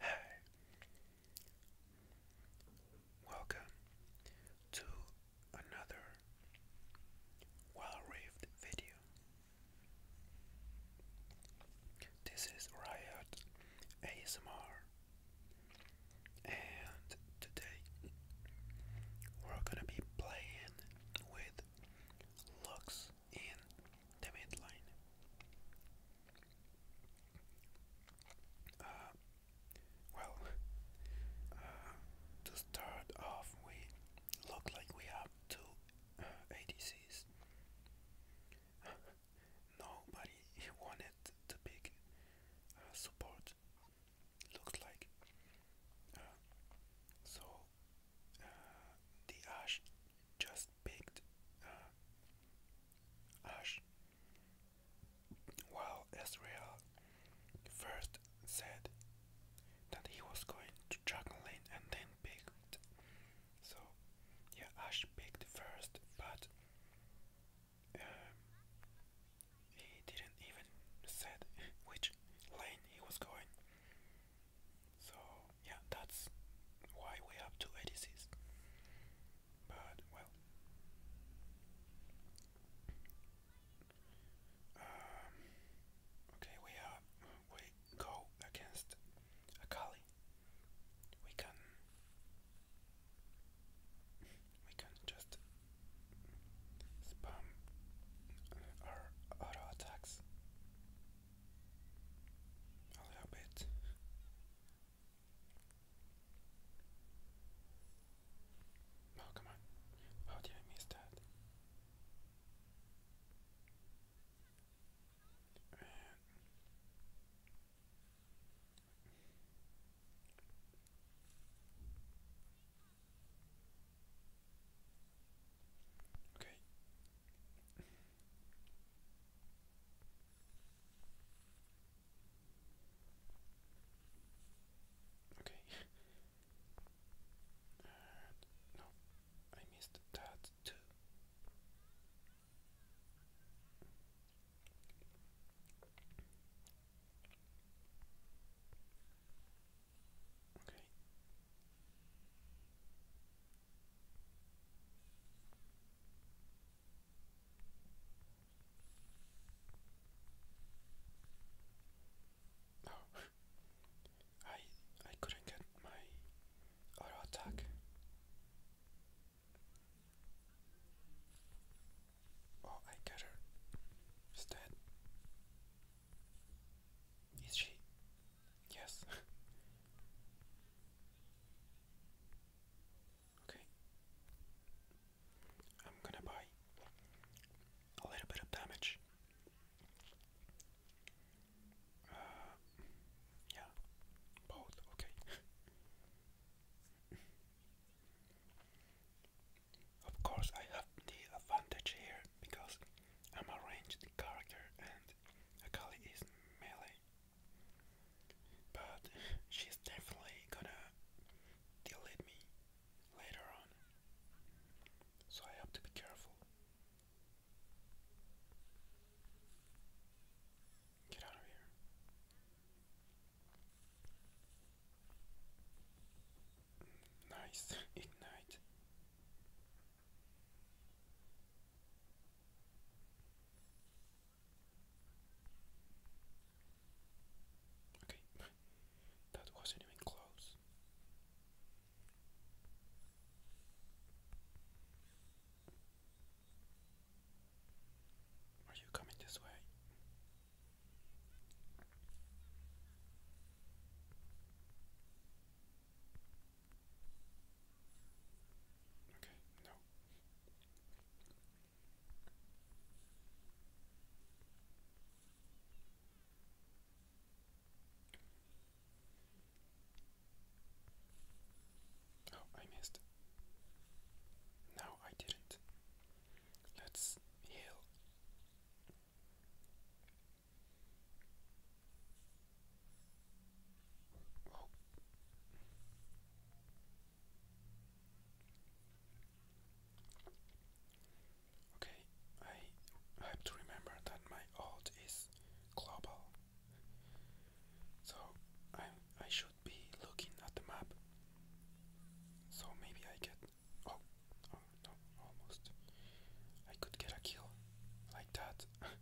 Hi, welcome to another well raved video. This is Riot ASMR, and today we're gonna be playing with Lux pixels in the midline. Uh, well, uh, to start off, we look like we have two uh, ADCs. Nobody wanted the big support. Looks like so the Ash just baked uh, ash, while Israel first said that he was going to Dragon Lane and then baked. So, yeah, Ash baked first, but um, he didn't even said which lane he was going. So yeah, that's why we have two ADCs. But well, um, okay, we have we go against Akali. We can we can just spam our auto attacks a little bit. Oh, come on. How did I miss that? And uh, Okay. Okay. no, I missed that too. Okay. Oh. I I couldn't get my auto attack. Oh, I got her. She's dead. she? Yes. Okay. I'm gonna buy a little bit of damage. Uh, yeah, both, okay. of course, I have the advantage here because I'm a ranged character and Akali is melee. But she's definitely gonna delete me later on. So I have to be careful. Get out of here. Nice, ignite. Okay, that wasn't even close. Are you coming this way? Okay, no. Oh, I missed. No, I didn't. Let's heal. Oh. Okay, I have to remember that my alt is global. So I I should be looking at the map. So maybe I get oh oh no almost I could get a kill like that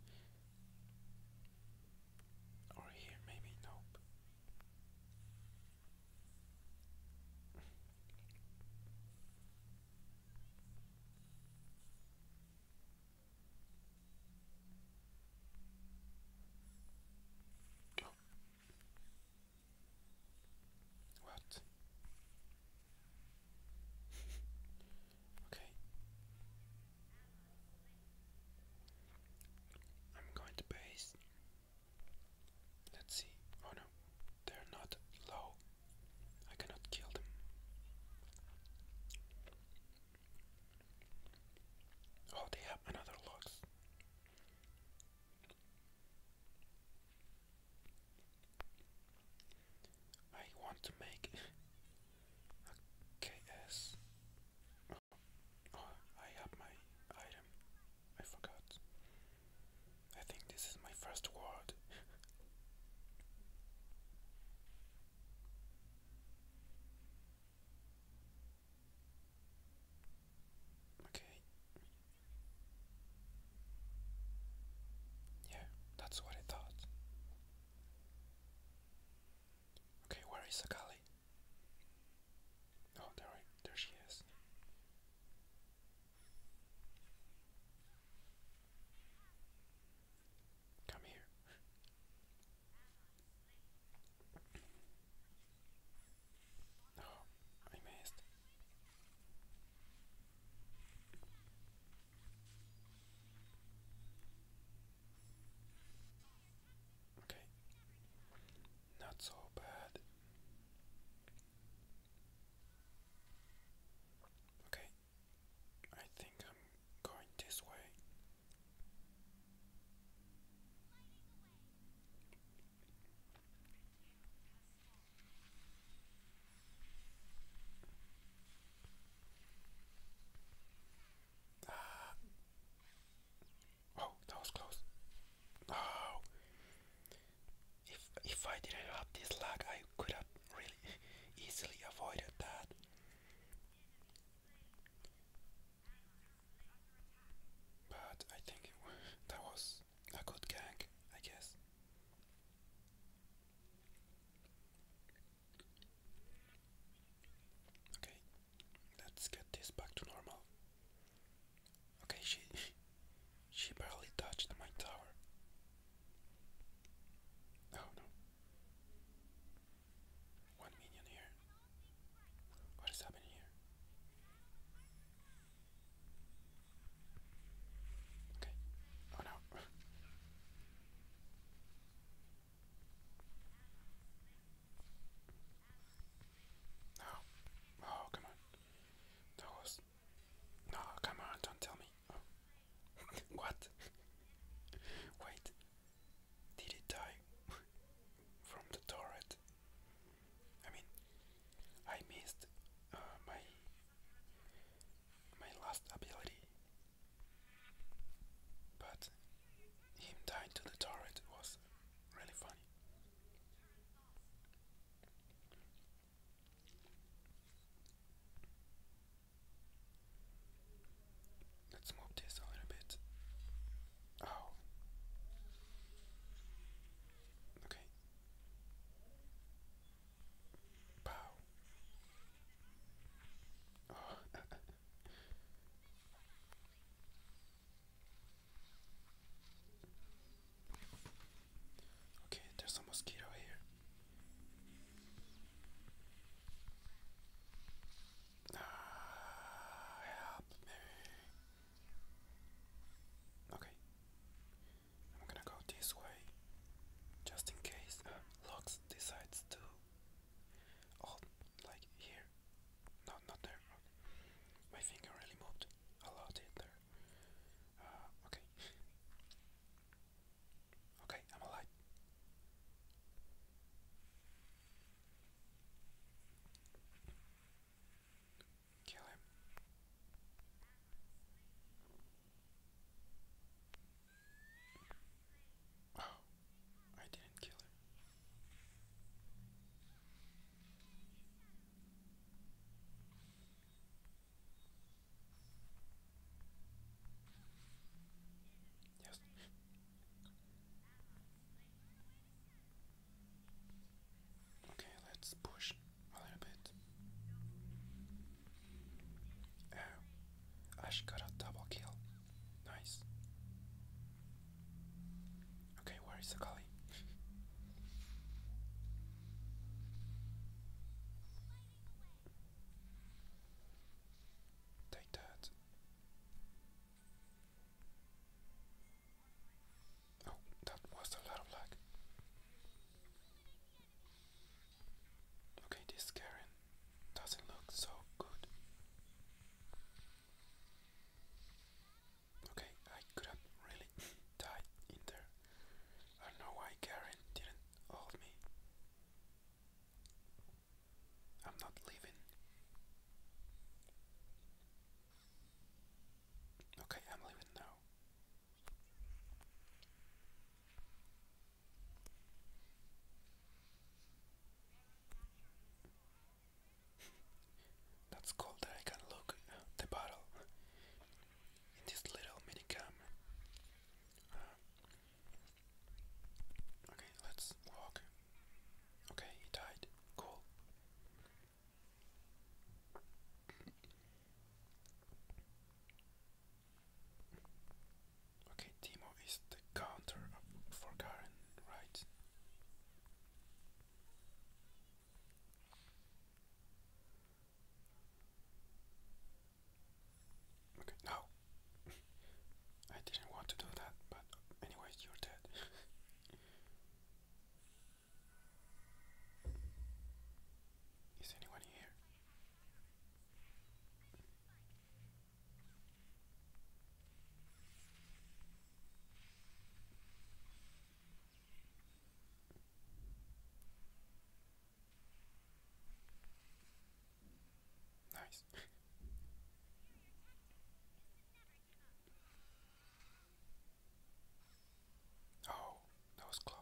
Or here, maybe? Nope. What? okay. I'm going to base. Let's see. Oh no, they're not low. I cannot kill them. Oh, they have another logs. I want to make Okay, yes. oh, I have my item. I forgot. I think this is my first word. okay. Yeah, that's what I thought. Okay, where is Akali? Oh, there, there she is. Come here. No, I missed. Okay, not so bad. Okay, I think I'm going this way. Uh, oh, that was close. Oh, if if I didn't have this lag, I could have really easily avoided that. But I think that was a good gank, I guess. Okay, let's get this back to normal. Okay, she she barely touched my tower. Oh no. One minion here. What is happening here? Okay. Oh no. No. Oh, come on. That was. No, come on, don't tell me. Oh. what? Wait. Did it die from the turret? I mean, I missed uh, my my last ability. But him dying to the turret was really funny. Let's move this a little bit. Oh. Okay. Pow. Oh. Okay, there's a mosquito here. Ah, help me. Okay. I'm gonna go this way. Just in case. Uh, decides to all oh, like here. No, not there. My finger really moved a lot in there. Uh, okay. okay, I'm alive. Kill him. Oh, I didn't kill him. Yes. Okay, let's push a little bit. Oh, uh, I should got a double kill. Nice. Okay, where is Akali? Take that. Oh, that was a lot of luck. Okay, this Karen doesn't look so good. Okay, I could have really died in there. I don't know why Karen didn't hold me. I'm not leaving. Okay, I'm leaving now. That's cool that I can look at the battle in this little mini camera. Uh, okay, let's walk. Okay, he died. Cool. Okay, Timo is the counter for Karen, right? Okay, no. I didn't want to do that, but anyway, you're dead. Is anyone here? Nice. oh, that was close.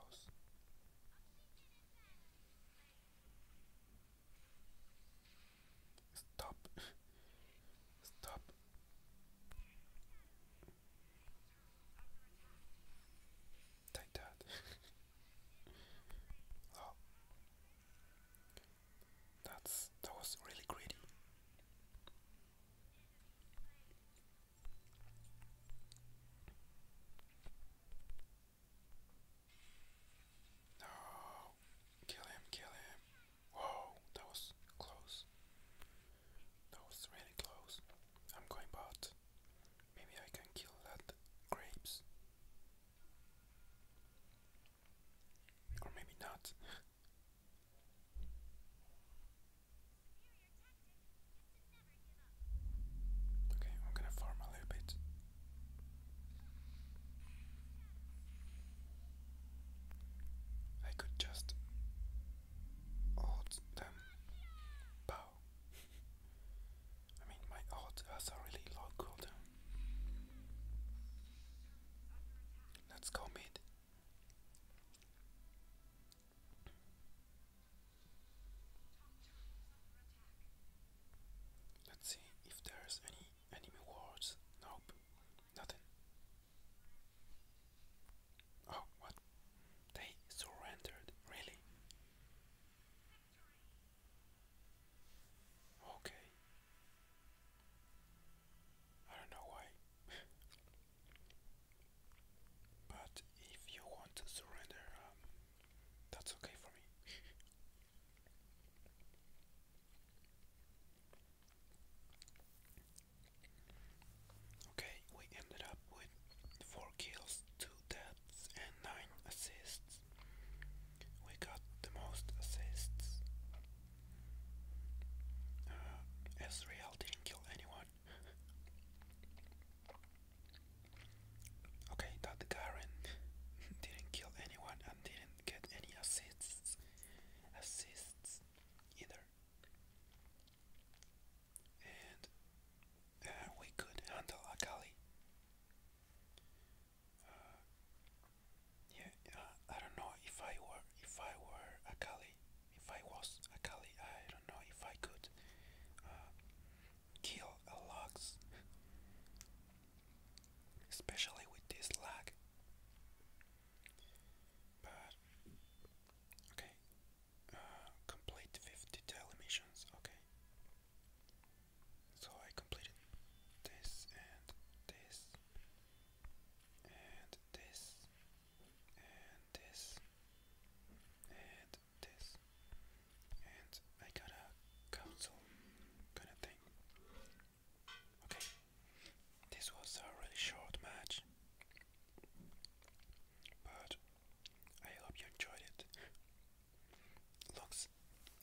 Stop. Stop. Take that. oh. That's that was really greedy. No, kill him, kill him. Whoa, that was close. That was really close. I'm going bot. Maybe I can kill that grapes. Or maybe not. okay, I'm gonna farm a little bit. I could just hold them bow. I mean, my heart has a really low cooldown. Let's go Let's see if there's any enemy wards. Nope. Nothing. Oh, what? They surrendered, really? Okay. I don't know why. but if you want to surrender, um, that's okay for me. Okay, we ended up with 4 kills, 2 deaths, and 9 assists. We got the most assists. Uh, didn't kill anyone. okay, that Garen didn't kill anyone and didn't get any assists assists either. And uh, we could handle Akali. Uh, yeah, uh, I don't know if I were if I were Akali, if I was Akali, I don't know if I could kill a Lux, especially with this lag okay, uh, complete with detail Okay, so I completed this and this and this and this and this, and I got a council kind of thing. Okay, this was a really short match, but I hope you enjoyed it. Lux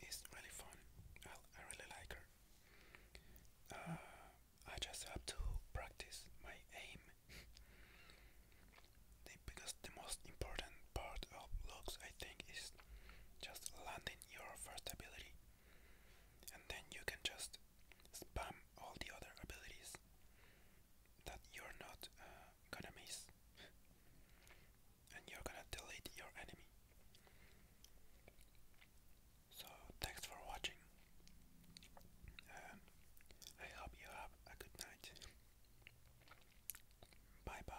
is really fun. I, I really like her. Uh, I just have to practice my aim. because the most important part of looks, I think, is just landing your first ability and then you can just spam all the other abilities that you're not uh, gonna miss, and you're gonna delete your enemy. So, thanks for watching. I hope you have a good night. Bye bye.